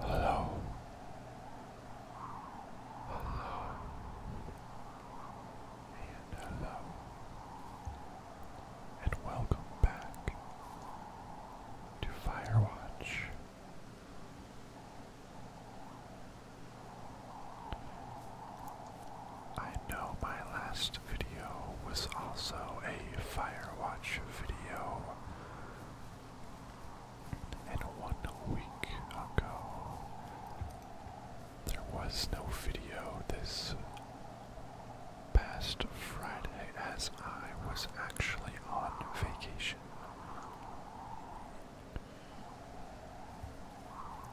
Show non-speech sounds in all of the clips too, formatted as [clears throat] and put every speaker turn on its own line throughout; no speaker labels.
Hello. Hello. And hello. And welcome back to watch. I know my last video was also a Firewatch video, and one week ago there was no video this past Friday as I was actually on vacation.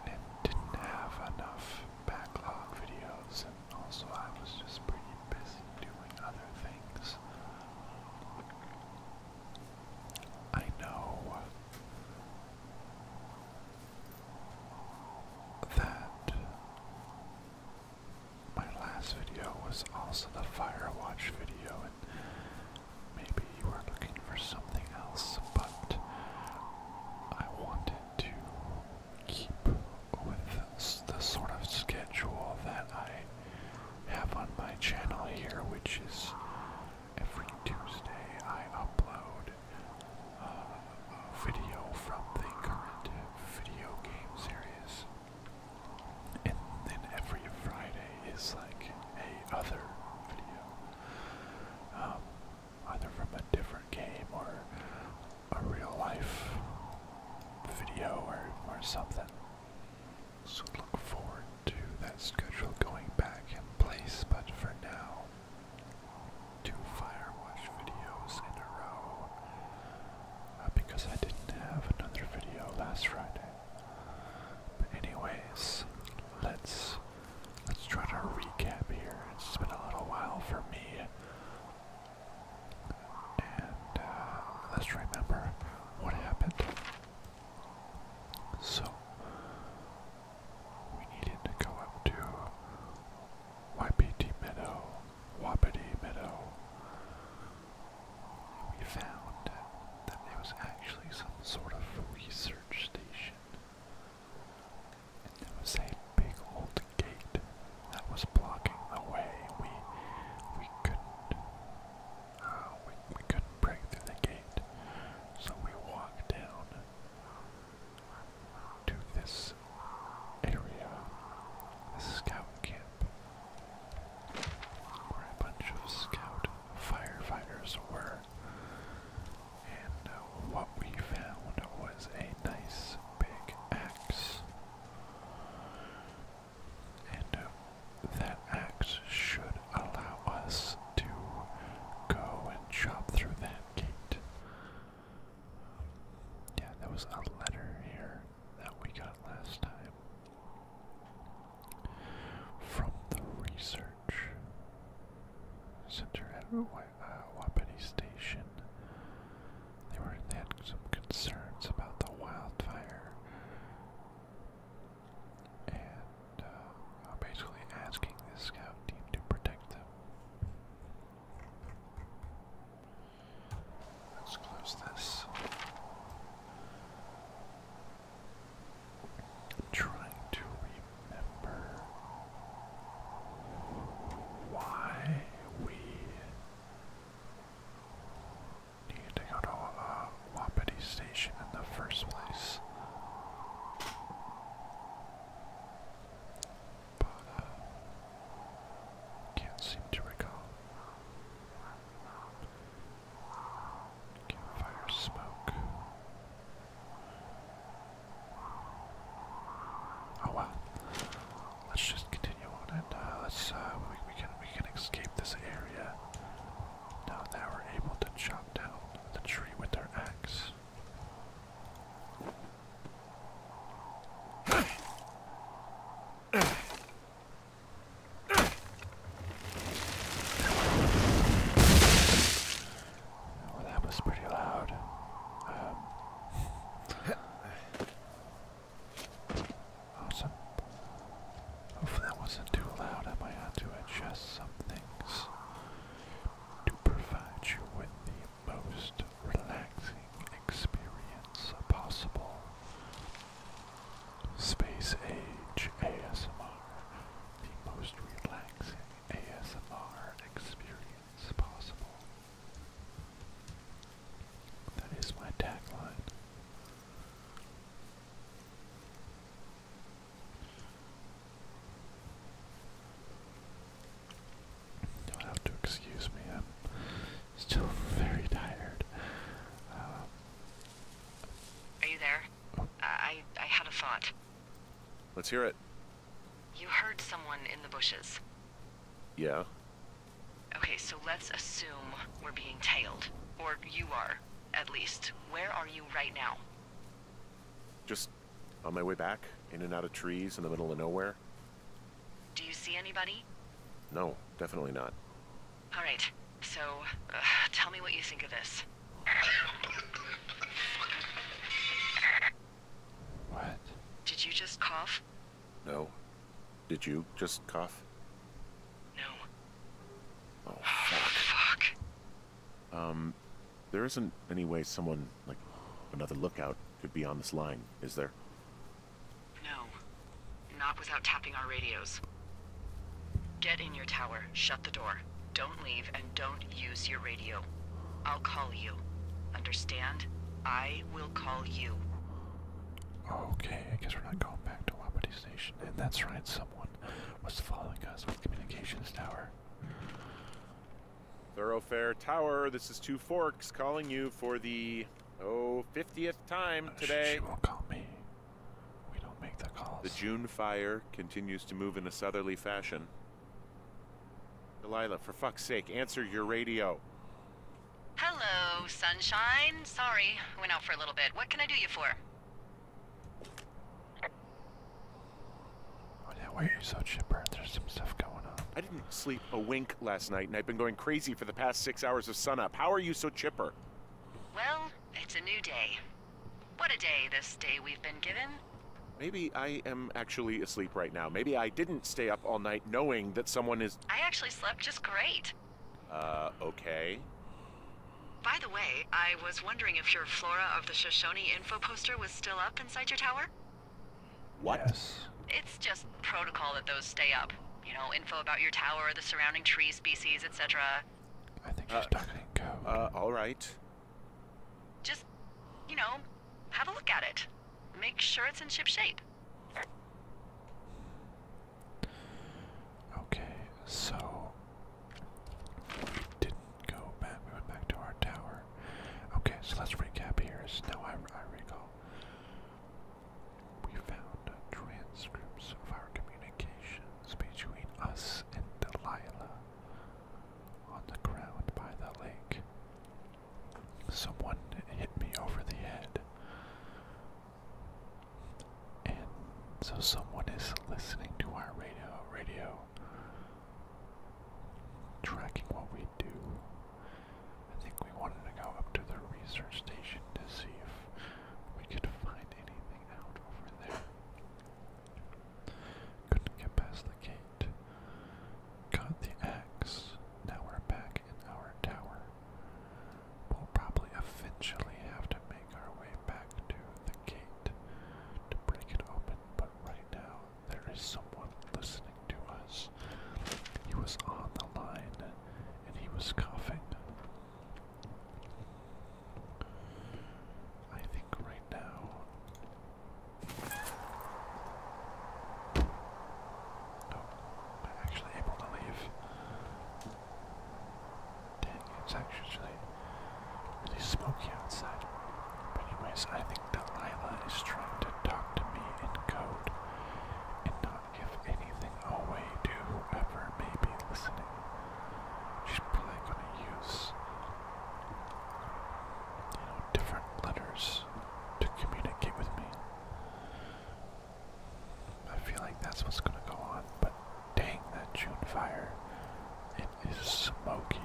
And didn't have enough backlog videos, and also I was just pretty busy doing other things. I know that my last video was also the fire watch video, and maybe you were looking for something else, but I wanted to keep with the sort of schedule that I have on my channel here, which is every Tuesday I upload uh, a video from the current video game series. And then every Friday is like a other video, um, either from a different game or a real life video or or something. So look forward to that schedule going back in place. But for now, two fire Firewatch videos in a row. Uh, because I didn't have another video last Friday. But anyways, let's let's try to recap here. It's been a little while for me. And uh, let's remember what happened. So we needed to go up to YPT Meadow Wapiti Meadow. We found that it was actually some sort of research station. And there was a big old gate that was blocking the way. We we couldn't uh, we couldn't break through the gate. So we walked down to this area, the scout camp where a bunch of scout firefighters were. And uh, what we found was a nice big axe. And uh, that axe should allow us to go and chop through that gate. Yeah, there was a letter here that we got last time from the research center at uh, Wapiti Station. They were they had some concerns about the wildfire and uh, basically asking the scout team to protect them. Let's close this. trying to remember why we needed to go to uh, Station in the first place. But, uh, can't seem to recall. Campfire smoke. Oh well. Let's just continue on and uh, let's. Uh, we, can we can escape this area. Now now we're able to chop down the tree with our axe. Well, that was pretty loud. Um, awesome. [laughs] Hopefully that wasn't too loud. I might have to adjust some things to provide you with the most relaxing experience possible. Space Age ASMR, the most relaxing ASMR experience possible. That is my tagline. You'll have
to excuse me, i Still very tired. Are you there? Uh, I I had a thought. Let's hear it. You heard someone in the bushes. Yeah. Okay, so let's assume we're being tailed. Or you are, at least. Where are you right now?
Just on my way back, in and out of trees in the middle of nowhere.
Do you see anybody?
No, definitely not.
All right, so uh, tell me what you think of this. What? Did you just cough?
No. Did you just cough? No. Oh, [sighs] fuck. Um, there isn't any way someone, like, another lookout could be on this line, is there?
No. Not without tapping our radios. Get in your tower, shut the door. Don't leave and don't use your radio. I'll call you. Understand? I will call you. Okay, I guess we're
not going back to Wapiti Station. And that's right, someone was following us with communications tower.
Thoroughfare Tower, this is Two Forks calling you for the Oh, 50th time today. She, won't call me. We don't make the calls. The June fire continues to move in a southerly fashion. Delilah, for fuck's sake, answer your radio.
Hello, sunshine. Sorry, went out for a little bit. What can I do you for? Oh, why are you so chipper? There's some stuff going
on. I didn't sleep a wink last night, and I've been going crazy for the past six hours of sunup. How are you so chipper?
Well, it's a new day. What a day, this day we've been given.
Maybe I am actually asleep right now. Maybe I didn't stay up all night knowing that someone is.
I actually slept just great.
Uh, okay.
By the way, I was wondering if your Flora of the Shoshone info poster was still up inside your tower? What? It's just protocol that those stay up you know, info about your tower, the surrounding tree species, etc.
I think uh, she's uh, talking Uh, all right.
Just, you know, have a look at it. Make sure it's in ship shape.
Okay, so we didn't go back. We went back to our tower. Okay, so let's recap here. now I, I recall we found transcripts of our communications between us and Delilah on the ground by the lake. Someone hit me over the head. And so someone is listening to our radio, radio, tracking what we do. I think we wanted to go up to the research station to see if we could find anything out over there. Couldn't get past the gate. Got the axe. Now we're back in our tower. We'll probably eventually have to make our way back to the gate to break it open, but right now there is someone listening to us. He was on the line and he was coughing. I think right now. Oh, I'm actually able to leave. Dang, it's actually really smoky outside. But anyways, I think Delilah is trying to talk to me in code if anything away do whoever may be listening. She's probably going to use, you know, different letters to communicate with me. I feel like that's what's going to go on, but dang that June fire. It is smoky.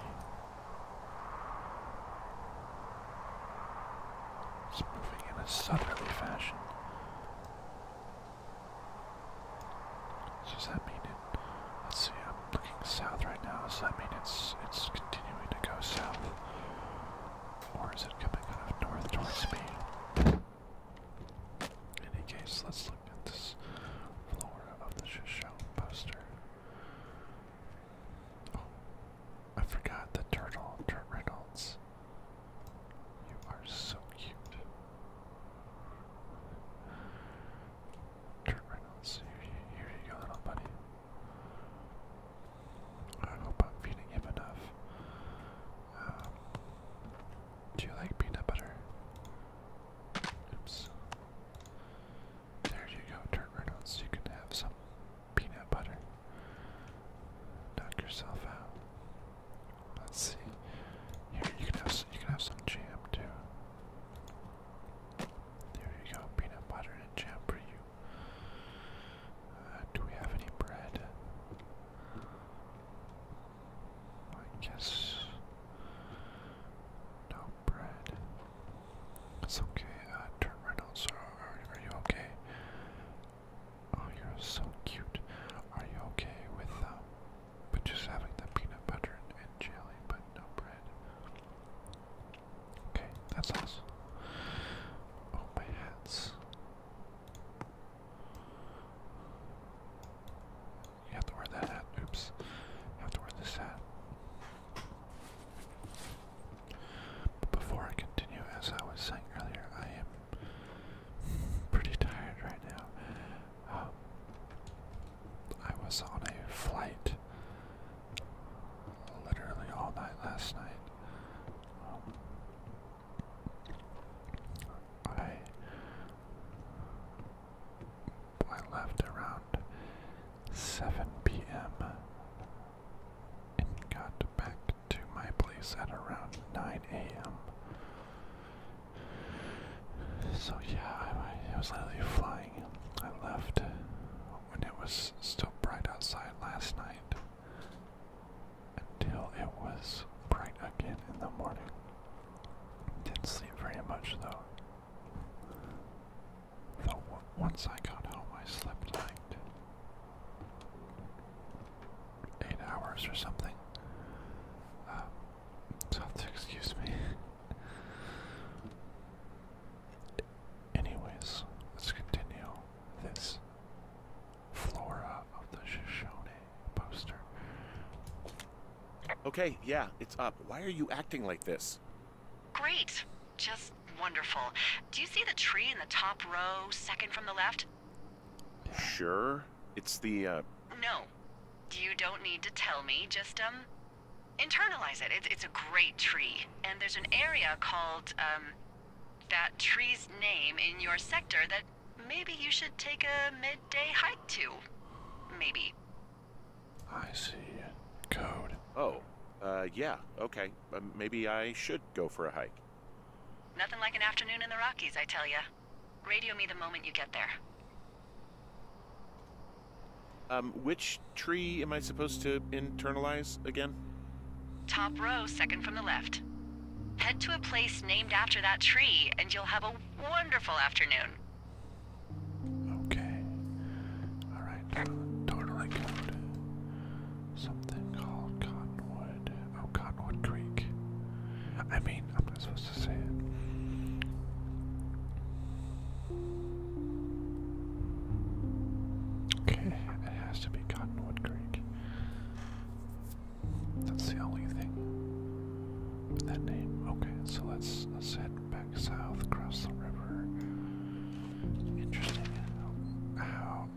It's moving in a southerly fashion does that mean it? Let's see. I'm looking south right now. Does that mean it's it's continuing to go south, or is it coming out of north towards me? In any case, let's look at this floor of the show poster. Oh, I forgot the turtle, Turtle Reynolds. You are so cute. Turn right now, Here you go, little buddy. I hope I'm feeding him enough. Um, do you like peanut butter? Oops. There you go, turn right so you can have some peanut butter knock yourself out. Let's see. Here you can have some, you can have some jam too. There you go, peanut butter and jam for you. Uh, do we have any bread? I guess no bread. It's okay. Uh, Turn right now. So, are you okay? Oh, you're so cute. Are you okay with um, uh, but just having the peanut butter and, jelly, but no bread? Okay, that's awesome. Oh, my hats. You have to wear that hat. Oops. have to wear this hat. But before I continue, as I was saying earlier, I am pretty tired right now. Um, I was on a flight literally all night last night. Um, I I left around 7 p.m. and got back to my place at around 9 a.m. So yeah, I, was literally flying. I left when it was still bright outside last night until it was bright again in the morning. Didn't sleep very much though. Though once I got home, I slept like eight hours or something. Um, so have to excuse me. [laughs] Anyways, let's continue this
flora of the Shoshone
poster. Okay, yeah, it's up. Why are you acting like this?
Great. Just wonderful. Do you see the tree in the top row, second from the left?
Sure. It's the, uh,
No. You don't need to tell me. Just, um, internalize it. It's, a great tree. And there's an area called, um, that tree's name in your sector that maybe you should take a midday hike to. Maybe. I see.
Code. Oh, uh, yeah, okay. Um, maybe I should go for a hike.
Nothing like an afternoon in the Rockies, I tell ya. Radio me the moment you get there.
Um, which tree am I supposed to internalize again?
Top row, second from the left. Head to a place named after that tree, and you'll have a wonderful afternoon. Okay. Alright, totally
good. Something called Cottonwood. Oh, Cottonwood Creek. I mean, I'm not supposed to say it. Okay, it has to be Cottonwood Creek. That's the only thing with that name. Okay, so let's head back south across the river. Interesting. How?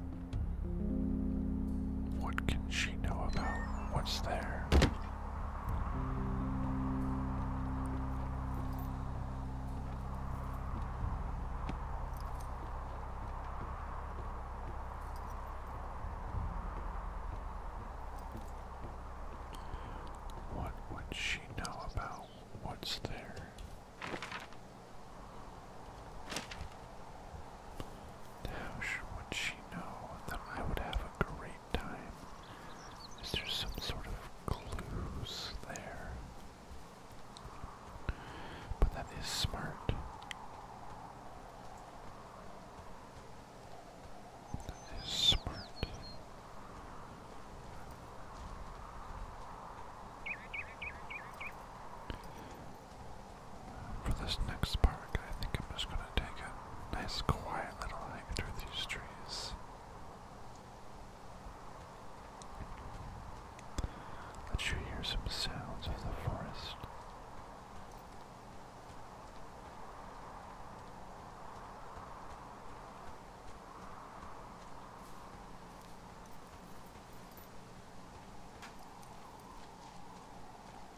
What can she know about What's there? What would she know about what's there? How would she know that I would have a great time. Is there some sort of clues there? But that is smart. That is smart. For this next park, I think I'm just going to take a nice quiet little hike through these trees. Let you hear some sounds of the forest.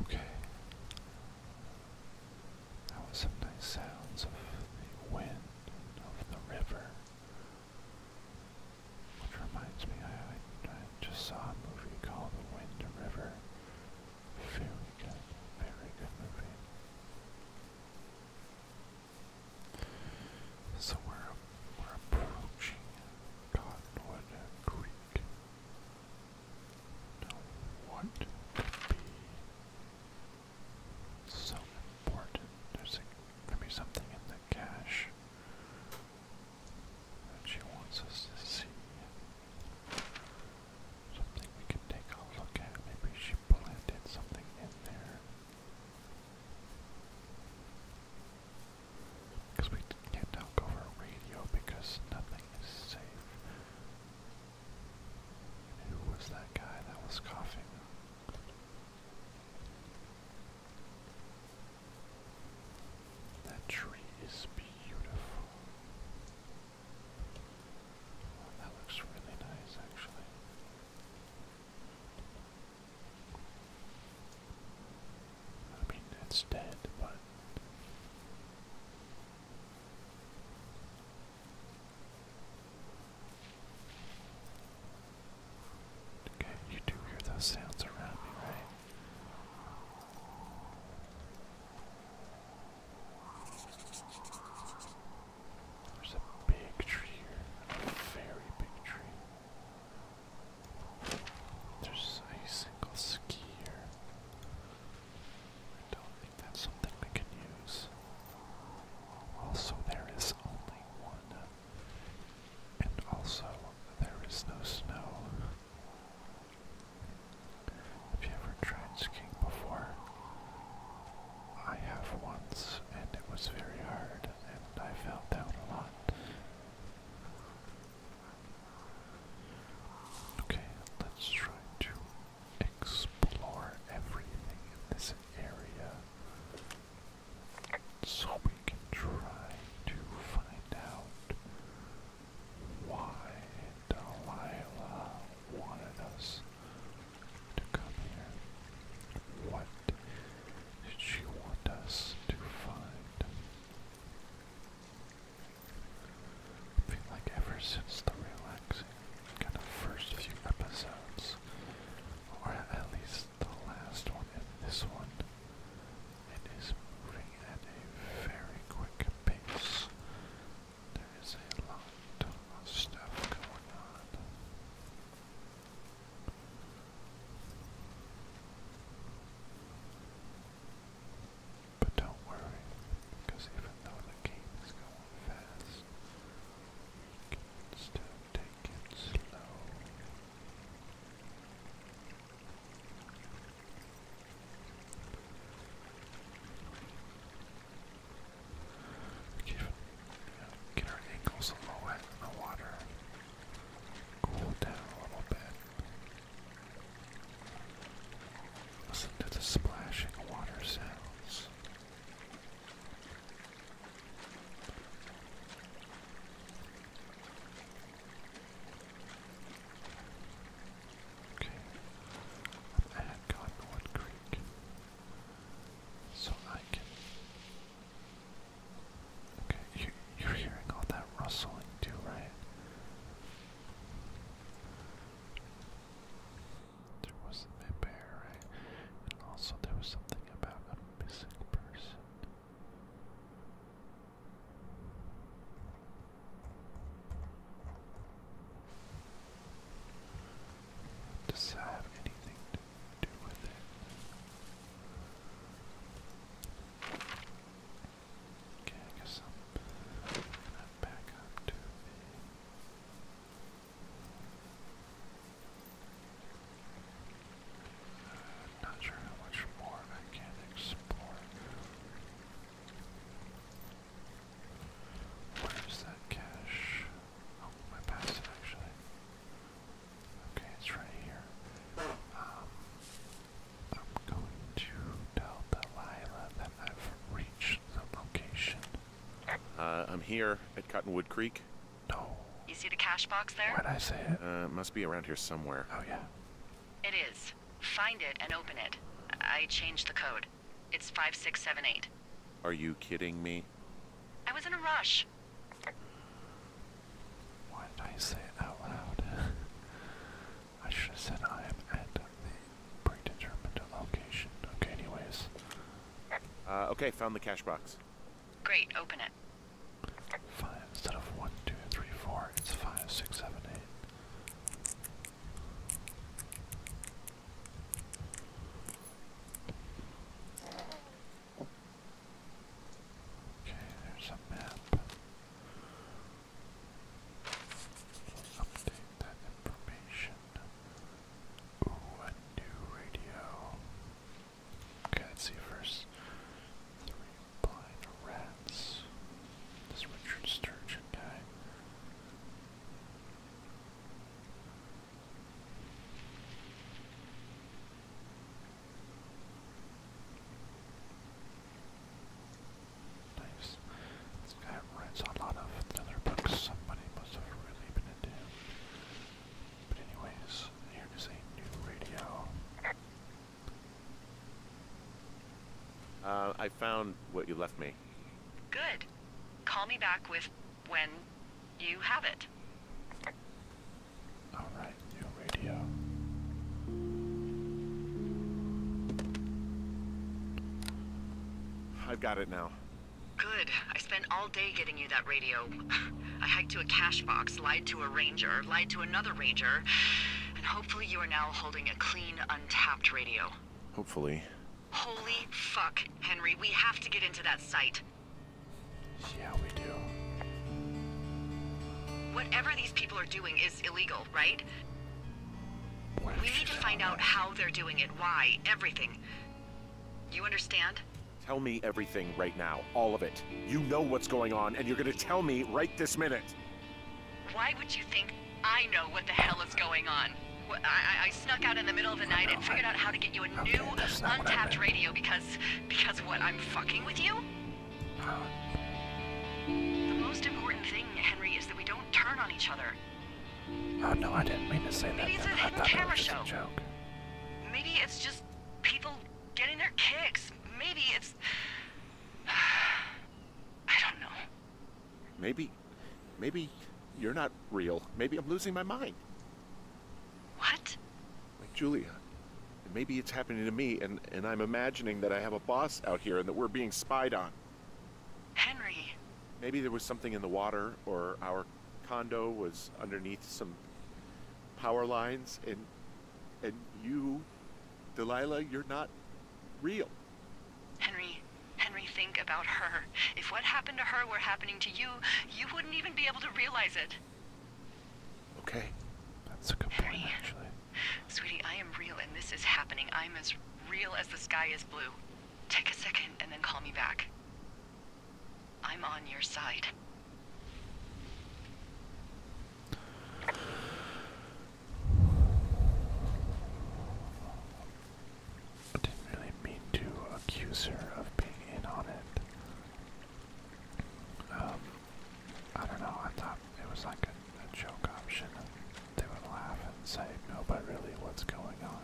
Okay. That was some nice sounds of the wind of the river. Which reminds me, I just saw a movie called The Wind and River. Very good, very good movie. So we're, approaching Cottonwood Creek. Now, what could be so important? There's a, something in the cache that she wants us to see. Something we can take a look at. Maybe she planted something in there. Because we can't now over radio because nothing is safe. who was that guy that was coughing? That tree is beautiful. Oh, that looks really nice, actually. I mean, it's dead, but. Okay, you do hear those sounds around me, right? There's a big tree here, a very big tree. There's a single ski here. I don't think that's something we can use. Also, there is only one. And also, there is no snow. Have you ever tried skiing before? I have once, and it was very hard and I felt down a lot. Okay, let's try to explore everything in this area so we can try to find out why Delilah wanted us to come here. What did she want us to find? I feel like ever since the relaxing kind of first few episodes, or at least the last one and this one, it is moving at a very quick pace. There is a lot of stuff going on. But don't worry, because even though the game is going fast, you can still take it slow. Get, get our ankles a in the water cool down a little bit. Listen to the splashing water sounds. Okay, I'm at Cottonwood Creek, so I can Okay, you, are hearing all that rustling too, right? There was a bear, right? And also there was something about a missing person. Does have anything Okay, I guess I'm gonna back up to not sure how much more I can explore. Where's that cache? Oh, my passive actually. Okay, it's right here. Um, I'm going to tell Delilah that I've reached the
location.
Uh, I'm here at Cottonwood Creek.
No. You see the cash box there? Why'd I say it?
Uh, must be around here somewhere. Oh,
yeah. It is. Find it and open it. I changed the code. It's 5678.
Are you kidding me?
I was in a rush. Why did I say it out loud? [laughs] I should have said I am at the predetermined
location. Okay, anyways. Uh, okay, found the cash box.
Great, open it. Five
instead of one, two, three, four, it's five, six, seven, eight. Okay, there's a map. update that information. Ooh, a new radio. Okay, let's see first. Three blind rats. This Richard Sturgeon guy. Nice. This guy writes a lot of other books somebody must have really been into. But anyways, here is a new radio.
Uh, I found what you left me.
Good. Call me back with when you have it. Alright, new radio.
I've got it now.
Good. I spent all day getting you that radio. [sighs] I hiked to a cash box, lied to a ranger, lied to another ranger, and hopefully you are now holding a clean, untapped radio. Hopefully. Holy fuck, Henry. We have to get into that site. See how we do. Whatever these people are doing is illegal, right? We need to find out how they're doing it, why, everything. You understand?
Tell me everything right now, all of it. You know what's going on, and you're gonna tell me right this minute.
Why would you think I know what the hell is going on? I, snuck out in the middle of the night and figured out how to get you a new, untapped radio because because what, I'm fucking with you? Huh. The most important thing, Henry, is that we don't turn on each other. Oh no, I didn't mean to say that. Maybe it's a hidden camera joke. Maybe it's just people getting their kicks. Maybe it's... [sighs] I don't know.
Maybe... Maybe you're not real. Maybe I'm losing my mind. What? Like Julia. maybe it's happening to me, and, and I'm imagining that I have a boss out here and that we're being spied on.
Henry.
Maybe there was something in the water, or our condo was underneath some power lines, and and you, Delilah, you're not real.
Henry, Henry, think about her. If what happened to her were happening to you, you wouldn't even be able to realize it. Okay. That's a good point, actually. Sweetie, I am real and this is happening. I'm as real as the sky is blue. Take a second and then call me back. I'm on your side. I
didn't really mean to accuse her of being in on it.
Um, I don't know, I thought it was like a, joke option, and they would laugh and say, no, but really, what's going on?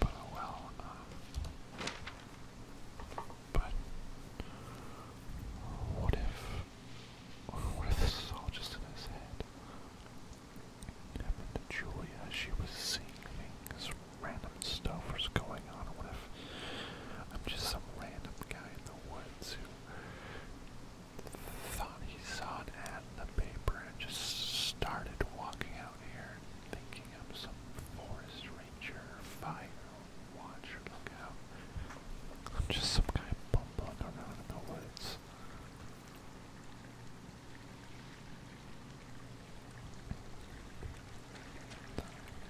but oh well, um, but what if, what if this is all just in his head? happened to Julia. She was seeing things, random stuff was going on. What if I'm just some random guy in the woods who thought he saw an ad in the paper and just started walking out here thinking I'm some forest ranger, fire watcher, look out. I'm just some guy bumbling around in the woods.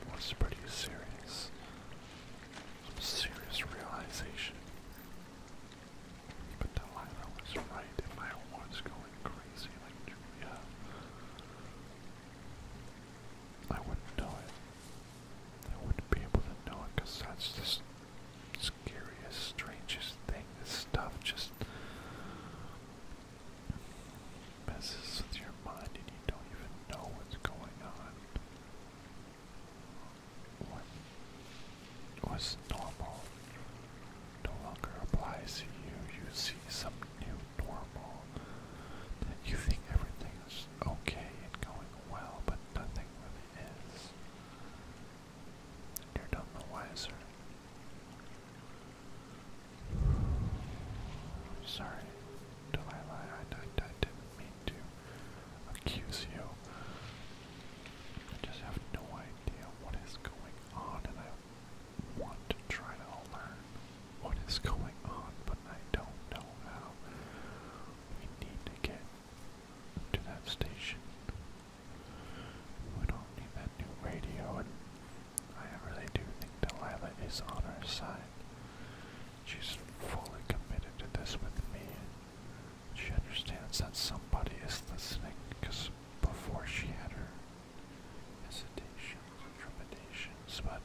That was pretty serious. serious realization. But Delilah was right if I was going crazy like Julia. I wouldn't know it. I wouldn't be able to know it because that's just scariest, strangest thing. This stuff just messes with your mind and you don't even know what's going on. What was normal no longer applies to you. You see some new normal that you think everything is okay and going well, but nothing really is. You're none the wiser. Sorry, Delilah, I, I, I didn't mean to accuse you. I just have no idea what is going on, and I want to try to learn what is going on, but I don't know how. We need to get to that station we don't need that new radio, and I really do think Delilah is on our side. She's fully committed to this with me. She understands that somebody is listening, because before she had her hesitations trepidations, but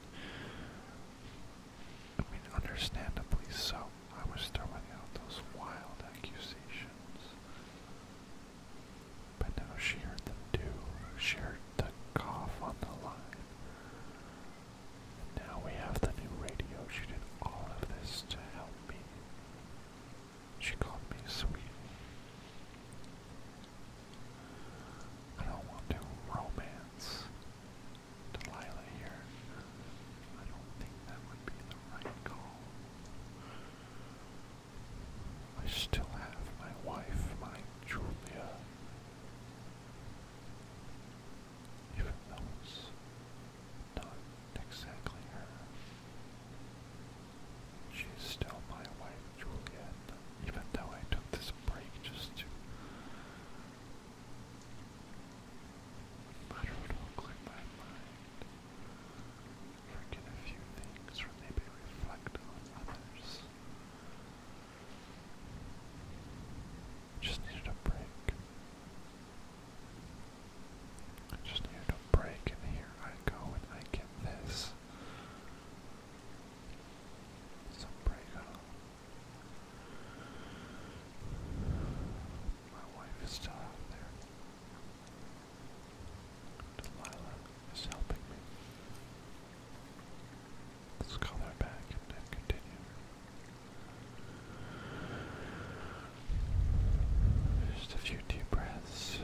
I mean, understandably so. I was throwing out those wild accusations. But now she heard the do, She heard the cough on the line. And now we have the new radio. She did all of this to help me. She called me sweet. I don't want to romance Delilah here. I don't think that would be the right call. I still have my wife, my Julia. Even though it's not exactly her. She's still my wife, Julia. even though I took this break just to, I clear my mind forget a few things maybe reflect on others. Just needed a break. just needed a break, and here I go and I get this. Some break My wife is still out there. Delilah is helping me. Let's call her back and continue. Just a few deep breaths.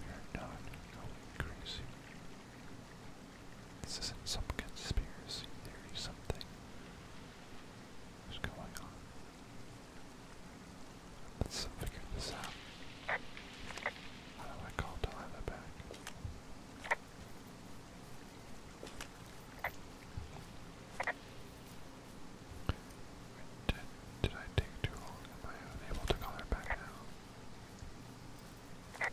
You're not going crazy. This isn't some conspiracy theory, something is going on. Let's figure this out. How do I call Delilah back? Did, did I take too long? Am I unable to call her back now?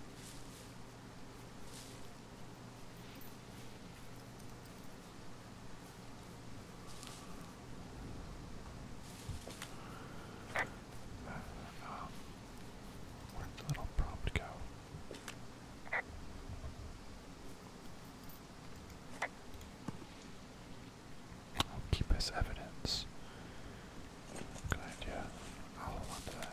where'd the prompt go? I'll keep as evidence. Good idea. I'll hold on to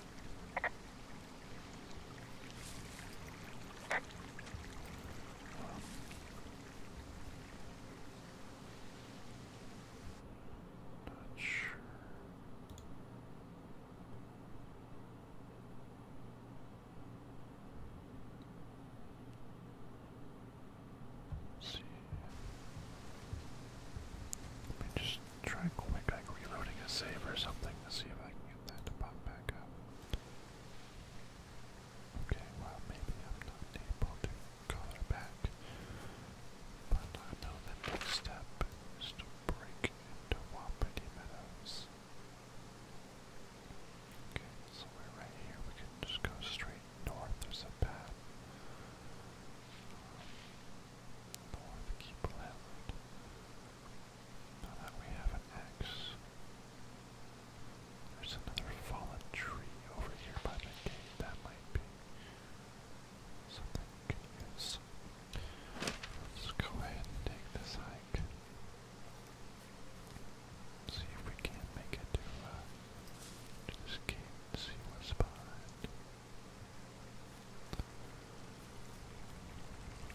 not sure. Let's see. Let me just try quick like reloading a save or something to see if I can get that to pop back up. Okay, well maybe I'm not able to collar back. But I know the next step is to break into Wapiti Meadows. Okay, so we're right here. We can just go straight north. There's a path. Um, north, keep left. Now that we have an axe. There's another fallen tree over here by the gate. That might be Let's go ahead and take this hike. See if we can make it to, uh, see what's behind.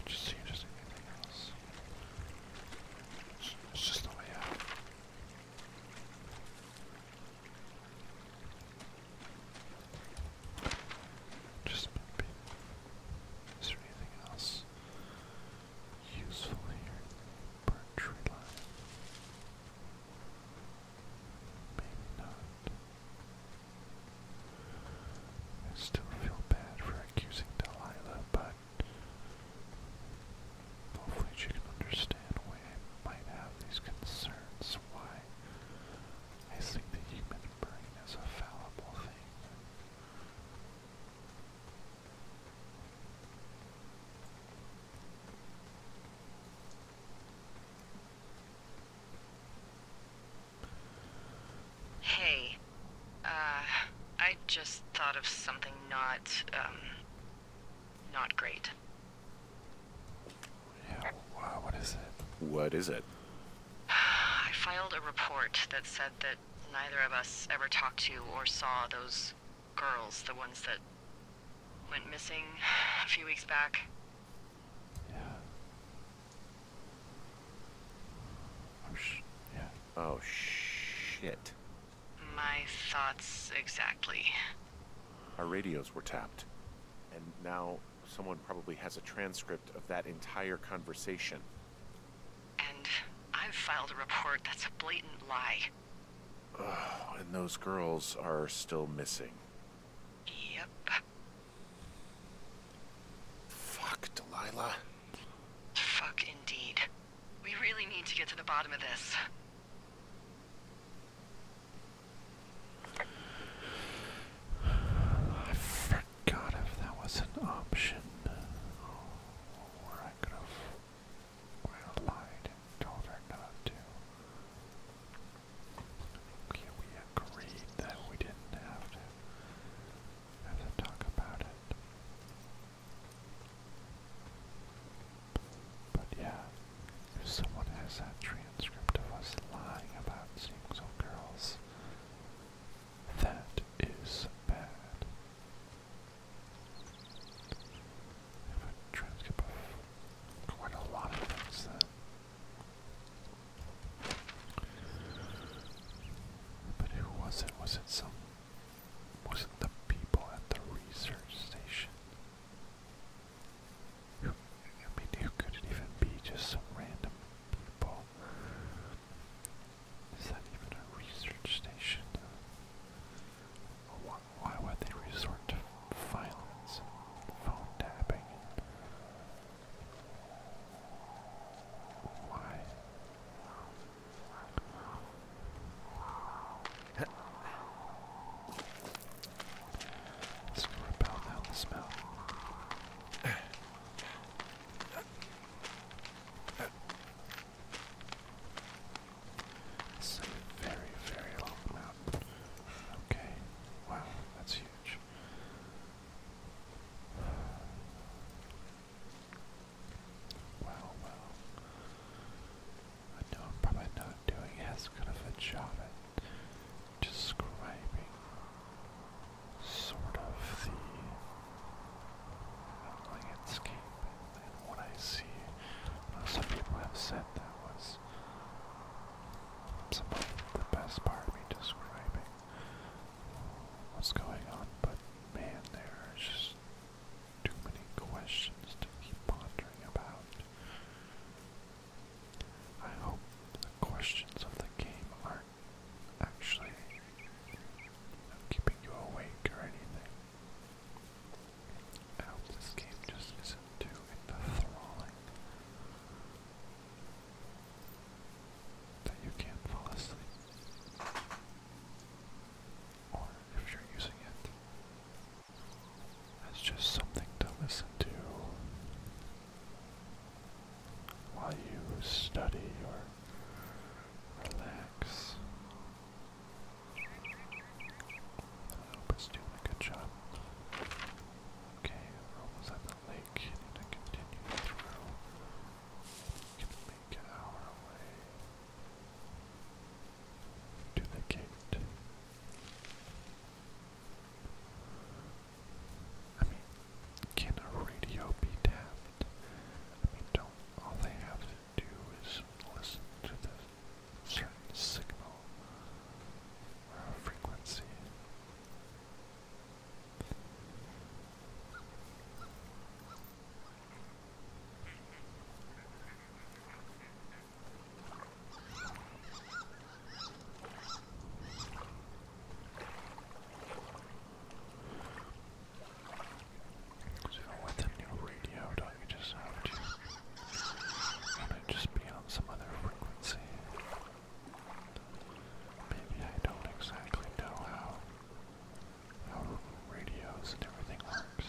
Just see if there's anything else. It's just the way out. Just maybe. Is there anything else useful here in tree line? Maybe not. I still feel bad for accusing Delilah, but Hopefully she can understand why I might have these concerns, why I think the human brain is a fallible thing.
Hey, uh, I just thought of something not, um, not great.
Yeah, wow, what is it? What is it? [sighs]
I filed a report that said that neither of us ever talked to or saw those girls, the ones that went missing [sighs] a few weeks back. Yeah.
Oh, sh yeah. Oh, shit.
My thoughts exactly.
Our radios were tapped. And now someone probably has a transcript of that entire conversation.
And I've filed a report that's a blatant lie.
Oh, and those girls are still missing.
Yep. Fuck, Delilah. Fuck indeed. We really need to get to the bottom of this.
I forgot if that was an option. Uh, or I could have lied and told her not to. we agreed that we didn't have to have to talk about it. But yeah, if someone has that transcript of us lying about seeing some girls, that is bad. I have a transcript of quite a lot of things then. But who was it? Was it some. Was it the people at the research station? Who, I mean, who could it even be? Just some random people. Is that even a research station? Why, would they resort to violence and phone tapping? Why? [laughs] Let's go rappel It's a very, very long mountain. Okay. Wow, that's huge. Wow, wow. I know I'm probably not doing as good of a job at describing sort of the uh, landscape and, and what I see. Well, uh, some people have said that was some of the best part of me describing what's going on, but man, there's just too many questions to keep pondering about. I hope the questions of the game aren't actually keeping you awake or anything. I hope this game just isn't too enthralling that you can't fall asleep. Or if you're using it, it's just something to listen to while you study or relax. I hope it's doing a good job. Okay, we're almost at the lake. need to continue through. We make it our way to the gate. I mean, can a radio be tapped? I mean, don't all they have to do is listen to the certain signal frequency? So with the new radio, do you just want to just be on some other frequency? Maybe I don't exactly know how how radios and everything works.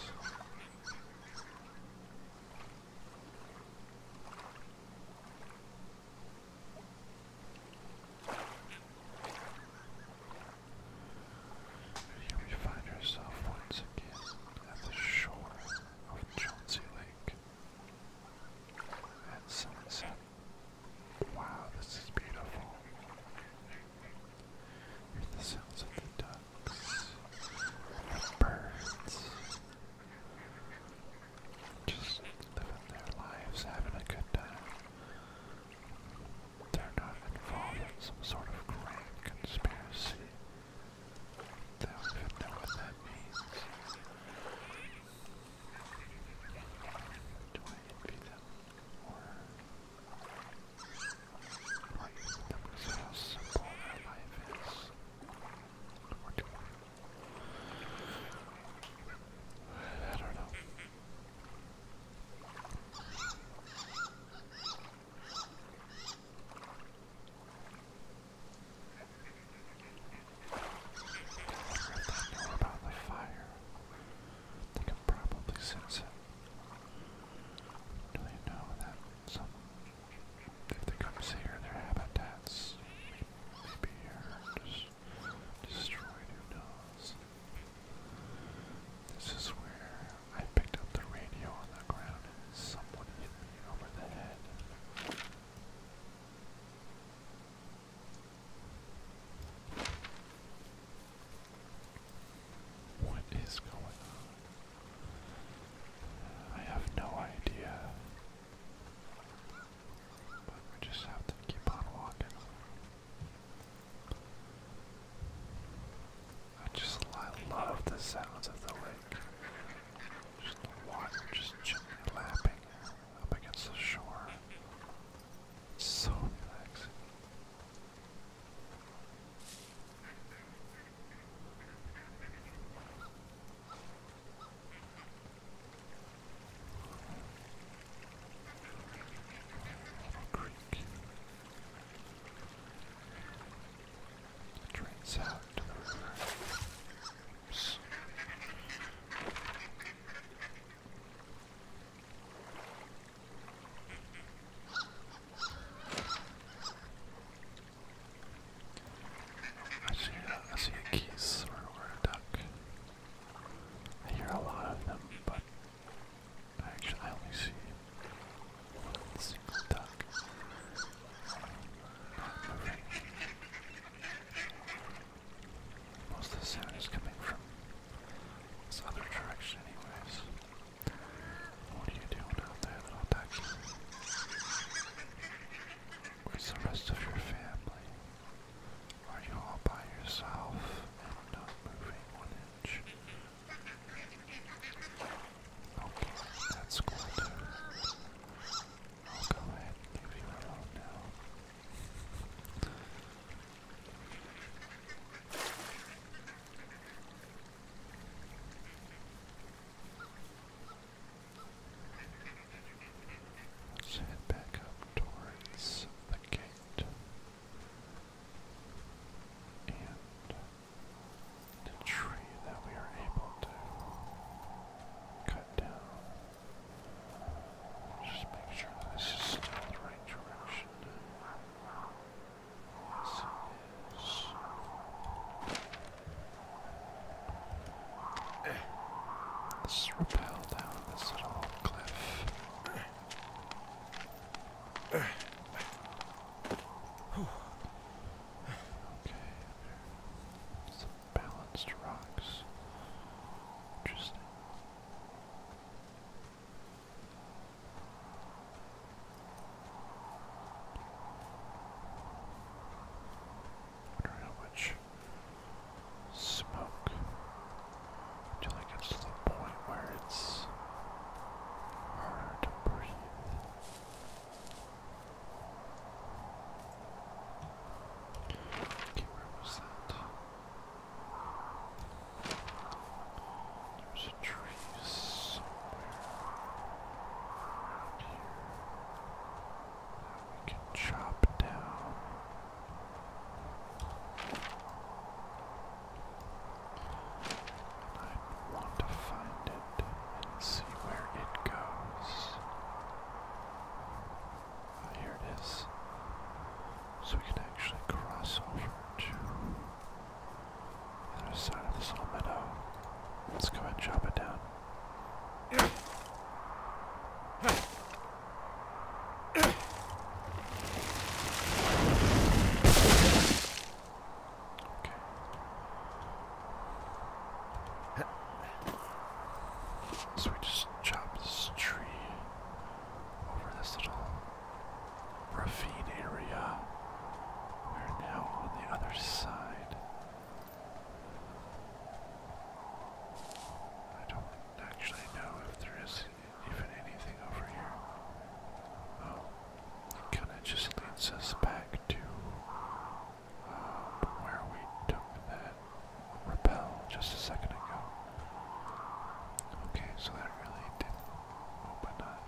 Here find ourselves once again at the shore of Chauncey Lake at sunset. Wow, this is beautiful. Hear the sounds of the duck Birds. Just living their lives, having a good time. They're not involved in some sort of grand conspiracy. They don't even know what that means. Do I envy them? Or like them because how simple their life I don't know. I can probably sense it. Do they know that some if they come see their habitats may, be here destroyed, who knows. This is where I picked up the radio on the ground someone hit me over the head. What is going on? I have no idea. But we just have to keep on walking. I just I love the sounds of the lake. Just the water just gently lapping up against the shore. It's so relaxing creek. It drains out to the river. Oops. I see, a, I see a geese or, or a duck. I hear a lot of them, but I only see one single duck. Most of the sound is coming from this other direction, anyways. What are you doing out there, little duck? Where's the rest of your family? Are you all by yourself and not moving one inch? Okay, that's cool too. I'll go ahead and give you a now. Let's head back up towards the gate.
And the tree that we are able to cut down. Just make sure this is still the right direction. Yes,
Let's rappel down this little cliff. Okay, there's some balanced rocks. Interesting how much smoke until it gets to the point where it's harder to breathe. Okay, where was that? There was here. We can chop down. And I want to find it and see where it goes. Ah, here it is. So we can actually cross over to the other side of this whole Let's go and chop it down. So we just chop this tree over this little ravine area. We're now on the other side I don't actually know if there is even anything over here. it kind of just leads us back to uh, where we took that repel just a second ago. Okay, so that really didn't open up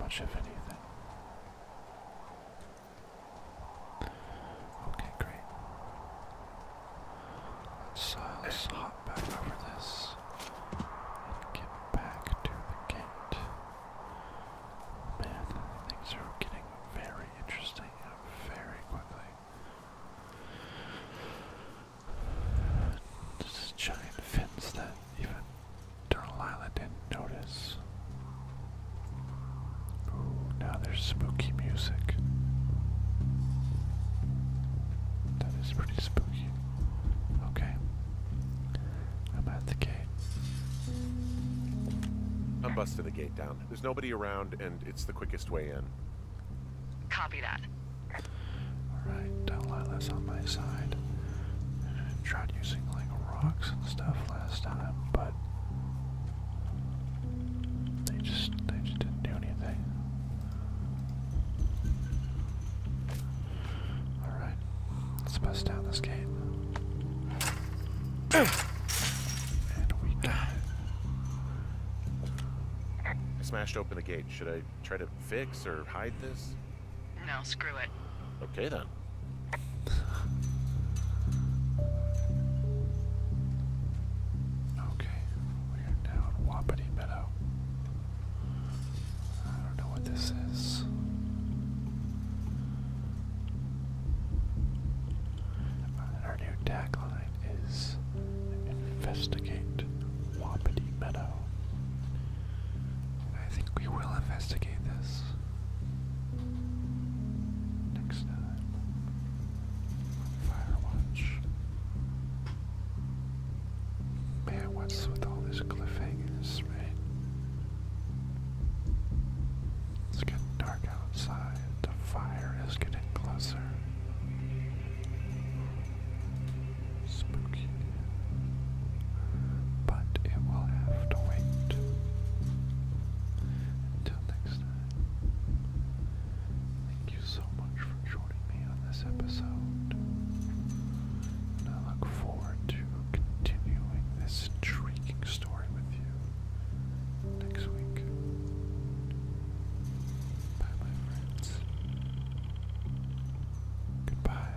much of anything. Okay, great. Let's, hop back over this and get back to the gate. Man, things are getting very interesting very quickly. Just giant fins that even Turtle Island did notice. Ooh, now there's spooky music.
That is pretty spooky.
Okay.
I'm at the gate.
I'm busting the gate down. There's nobody around, and it's the quickest way in.
Copy that.
Alright, Delilah on my side. And using like rocks and stuff last time, but they just they just didn't do anything. Alright, let's bust down this gate.
[clears throat] we die.
I smashed open the gate. Should I try to fix or hide this?
No, screw it.
Okay then.
Okay, we are down Wapiti Meadow. I don't know what this is. our new tagline is Investigate Wapiti Meadow. I think we will investigate this next time on Firewatch. Man, what's with all these cliffhangers, man? It's getting dark outside. The fire is getting closer. Spooky. But it will have to wait until next time, thank you so much for joining me on this episode. And I look forward to continuing this intriguing story with you next week. Bye, my friends. Goodbye.